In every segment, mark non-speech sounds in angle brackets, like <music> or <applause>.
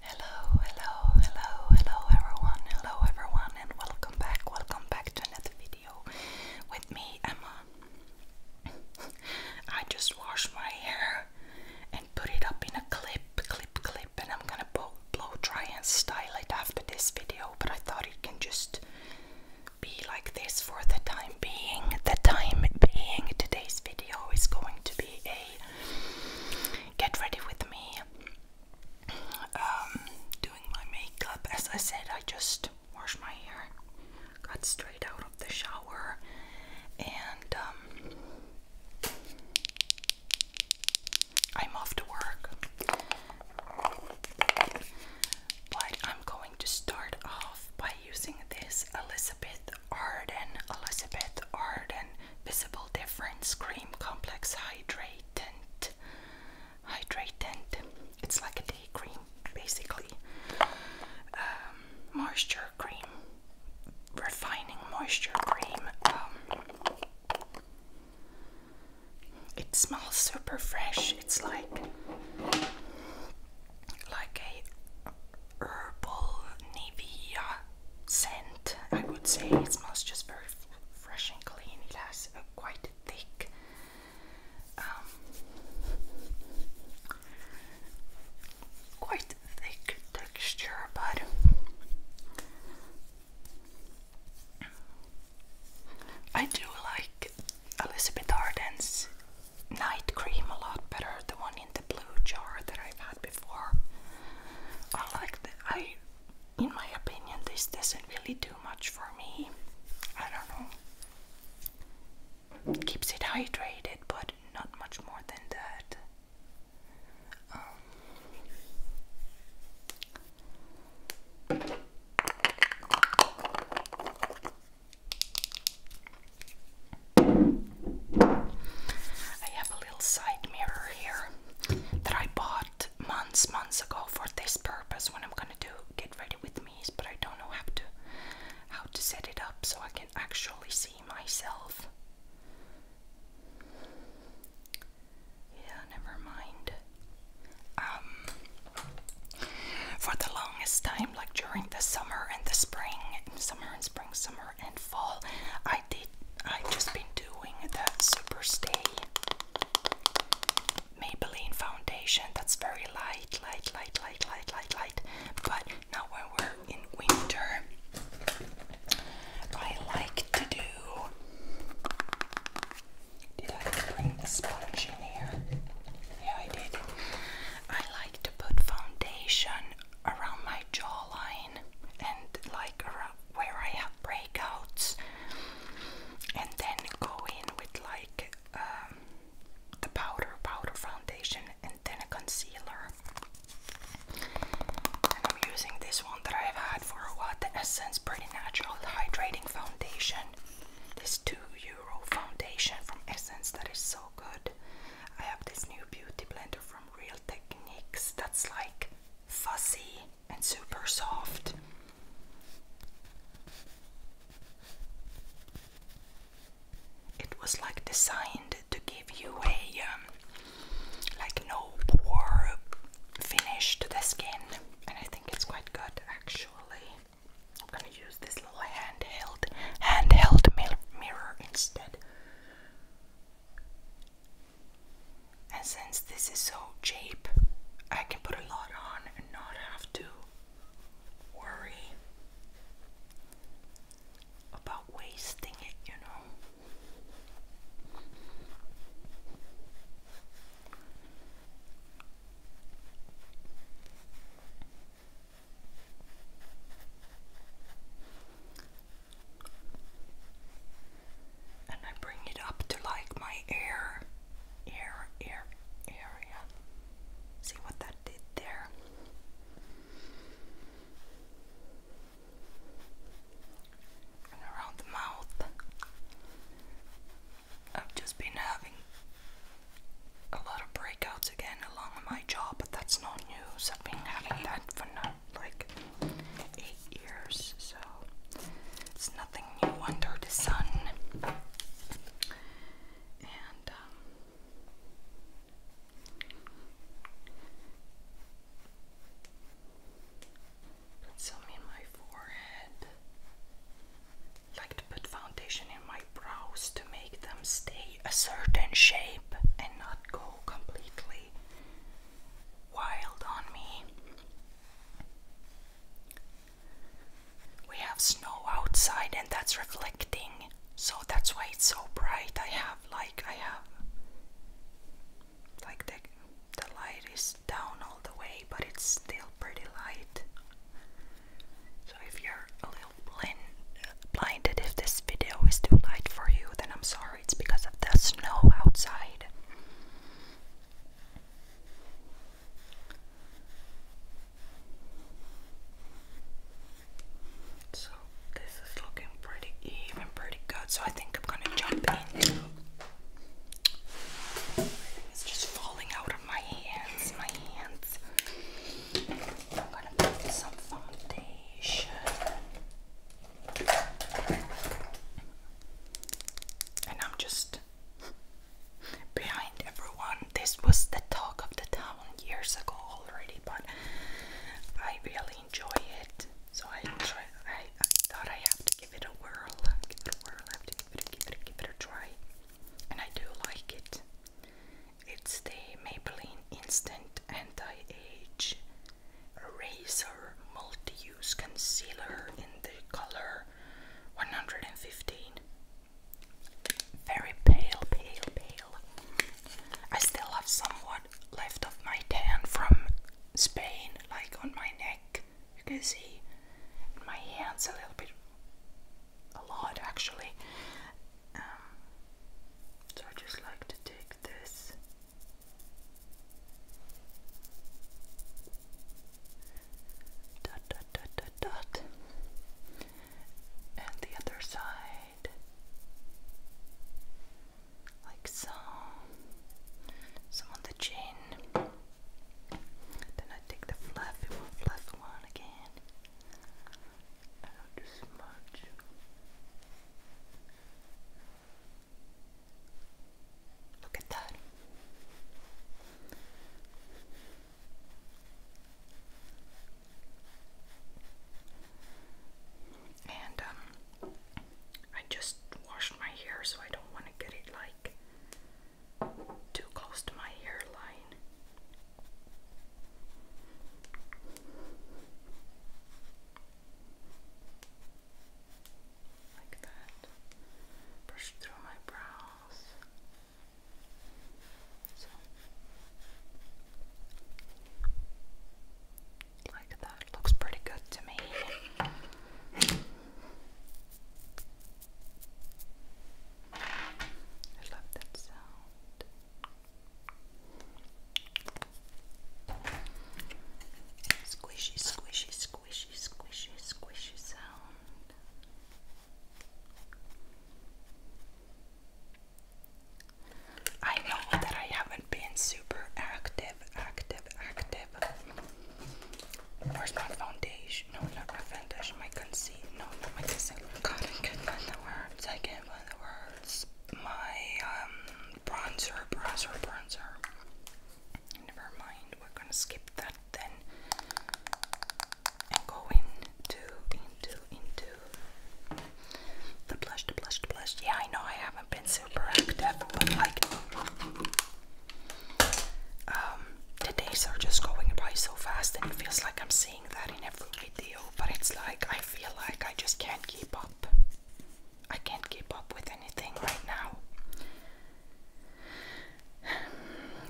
Hello, hello, hello, hello everyone, hello everyone and welcome back, welcome back to another video with me, Emma. I just washed my hair and put it up in a clip, clip, clip and I'm gonna blow, blow dry and style it after this video but I thought it can just be like this for the time being. The time being today's video is going to be a get ready with me. Um, doing my makeup. As I said, I just washed my hair, got straight out of the shower, and um, I'm off to work. But I'm going to start off by using this Elizabeth Arden, Elizabeth Arden visible difference cream complex hydratant hydratant it's like a day cream basically um, moisture cream refining moisture cream um, it smells super fresh it's like like a herbal Nivea scent, I would say. It smells just very fresh and clean. It has a quite thick um, quite thick texture, but I do like Elizabeth Arden's night cream a lot better, the one the blue jar that I've had before. I uh, like the, I, in my opinion, this doesn't really do much for me. I don't know. keeps it hydrated, but not much more than that. Um, I have a little side mirror here that I bought months, months ago for this purpose when I'm gonna do get ready with me, but I don't know how to how to set it up so I can actually see myself. Yeah, never mind. Um, for the longest time, like during the summer and the spring, summer and spring, summer summer and fall. I did I've just been doing the Superstay Maybelline foundation that's very light, light, light, light, light, light, light. But now when we're in winter I like to do Did I bring the sponge in here? Yeah I did. I like to put foundation around my jawline and like where I have breakouts and then go in with like um, the powder, powder foundation and then a concealer I'm using this one that I've had for a while, the Essence Pretty Natural Hydrating Foundation this 2 euro foundation from Essence that is so good I have this new beauty blender from Real techniques that's like fuzzy and super soft. It was like designed to give you a um, like no pore finish to the skin, and I think it's quite good actually. I'm gonna use this little handheld handheld mirror instead. And since this is so cheap, I can put a lot on and not have to worry about wasting it, you know. And I bring it up to like my air, air, air area. See what that did there. And around the mouth, I've just been having a lot of breakouts again along with my job that's not news. I've been having that for not like eight years, so it's nothing new under the sun. And um, put some in my forehead. Like to put foundation in my brows to make them stay a certain shape and not go completely wild on me. We have snow outside and that's reflecting, so that's why it's so bright. I have like I have like the the light is down all the way, but it's still pretty light. So if you're blind, blinded if this video is too light for you, then I'm sorry, it's because of the snow outside. So this is looking pretty even, pretty good. So I think I'm gonna jump into. It's just falling out of my hands. My hands. I'm going to put some foundation. And I'm just behind everyone. This was the talk of the town years ago already, but I really enjoy it. So I try. I, I thought I have to give it a whirl. Give it a whirl. have to give it, give it a try, and I do like it. It's the Maybelline Instant Anti-Age Eraser Multi-Use Concealer in the color 115. Very pale, pale, pale. I still have somewhat left of my tan from Spain, like on my neck. You can see my hands a little bit, a lot actually. Um, so I just like to take this dot dot dot dot dot and the other side like so some on the chin then I take the fluffy fluffy one again out the smudge. Look at that. And um, I just washed my hair so I don't want to get it like too close to my hairline. Like that. Brush through my brows. So. Like that. Looks pretty good to me. I love that sound. Squishy, squishy, squishy, squishy, squishy sound. I know that I haven't been super active, active, active. Where's my foundation? No, not foundation. My concealer. No, not my concealer. God, I can't find the words. I can't can't words. My um, bronzer, bronzer, bronzer. Never mind, we're gonna skip that then and go into, into, into the blush, the blush, the blush. Yeah, I know I haven't been super active, but like, um, the days are just going by so fast, and it feels like I'm that in every video, but it's like I feel like I just can't keep up. I can't keep up with anything right now.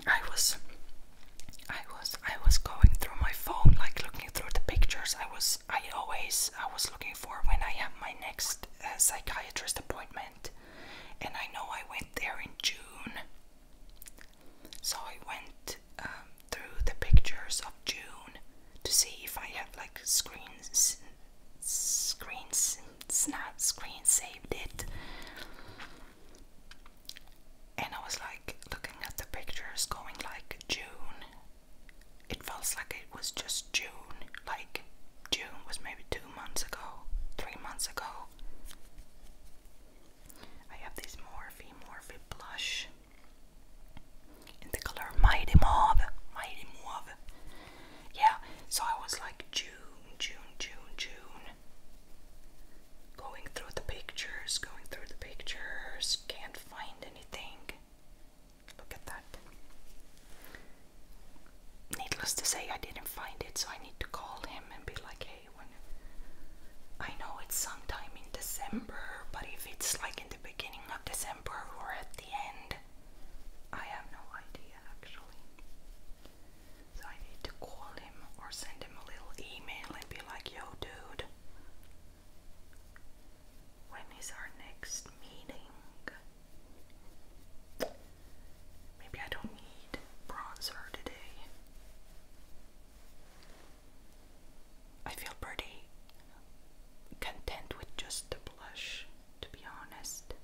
I was I was I was going through my phone like looking through the pictures. I was I always I was looking for when I have my next uh, psychiatrist appointment. And I know I went there in June. So I went um, through the pictures of June to see if I have like screens, screens, not screen saved it. And I was like looking at the pictures, going like June. It felt like it was just June, like June was maybe two months ago, three months ago. I have this Morphe Morphe blush the color Mighty Mauve. Mighty Mauve. Yeah, so I was like June, June, June, June. Going through the pictures, going through the pictures, can't find anything. Look at that. Needless to say, I didn't find it, so I need to call him and be like, hey, when. I know it's sometime in December, but if it's like in the beginning of December or at the end. I have no idea actually. So I need to call him or send him a little email and be like, yo, dude, when is our next meeting? Maybe I don't need bronzer today. I feel pretty content with just the blush, to be honest.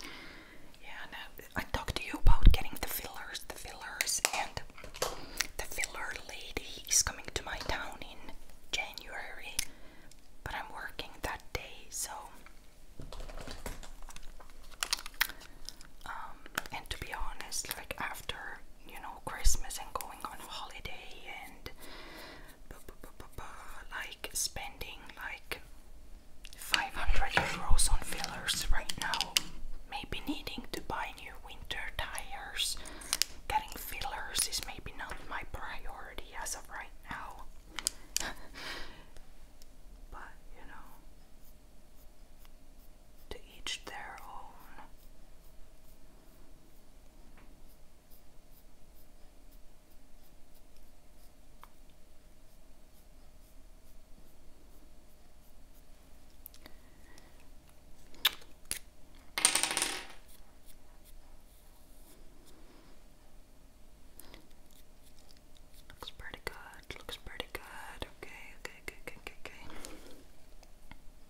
Yeah, and uh, I, talked to you about getting the fillers, the fillers, and the filler lady is coming to my town in January, but I'm working that day, so. Um, and to be honest, like after you know Christmas and going on holiday and like spending like 500 euros on fillers right now maybe needing to buy new winter tires getting fillers is maybe not my priority as of right now <laughs> but you know to each their own. Looks pretty good. Looks pretty good. Okay, okay, okay, okay, okay.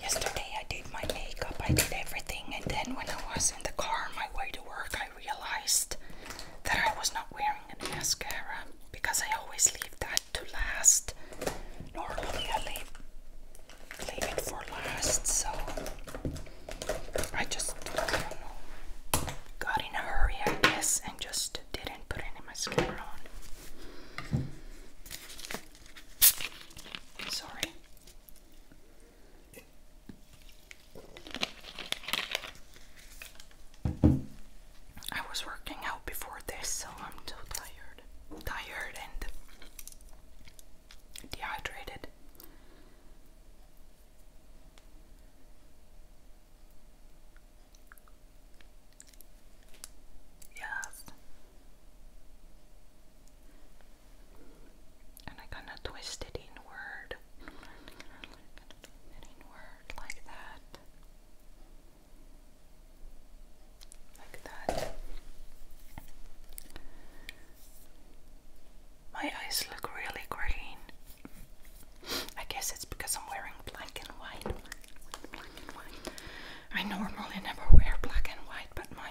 Yesterday I did my makeup, I did everything, and then when I was in the car on my way to work, I realized that I was not wearing any mascara because I always leave that to last. Normally I leave, leave it for last, so I just got in a hurry, I guess, and just didn't put any mascara on. Sorry. I was working out before this, so I'm so tired. Tired and dehydrated. Yes. And I gonna twist it inward. Inward, like that. Like that. My eyes look really green. I guess it's because I'm wearing Black and white. I normally never wear black and white, but my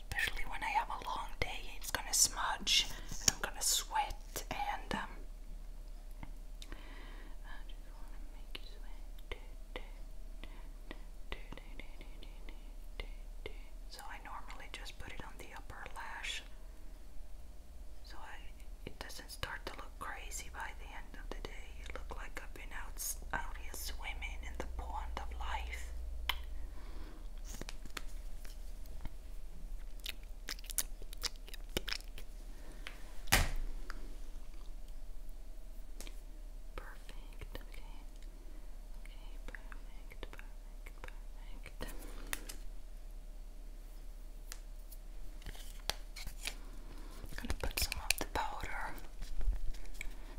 especially when I have a long day, it's gonna smudge and I'm gonna sweat and I um, So I normally just put it on the upper lash so I, it doesn't start to look crazy by the end of the day. You look like I've been out, swimming in the pond of life. Perfect. Okay. Okay, perfect, perfect, perfect. gonna put some of the powder.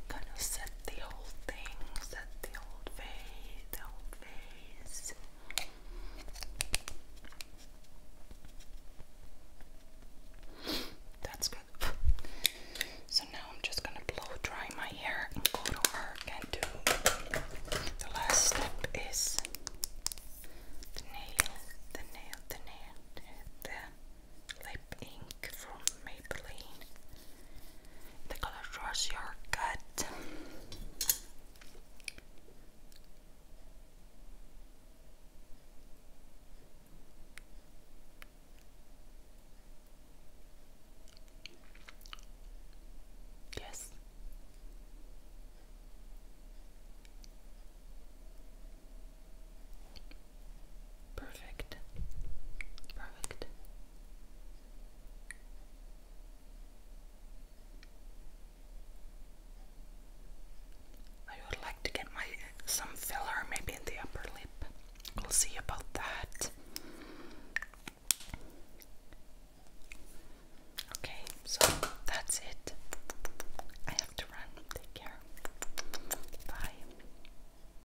Gonna set the whole thing, the old face, the old face. That's good. So now I'm just gonna blow dry my hair and go to work and do the last step is the nail, the nail, the nail, the lip ink pink from Maybelline. The color draws your cut. Yes. Perfect. Perfect. I would like to get my some filler maybe in the upper lip. We'll see about that. Okay, so that's it. I have to run. Take care. Bye.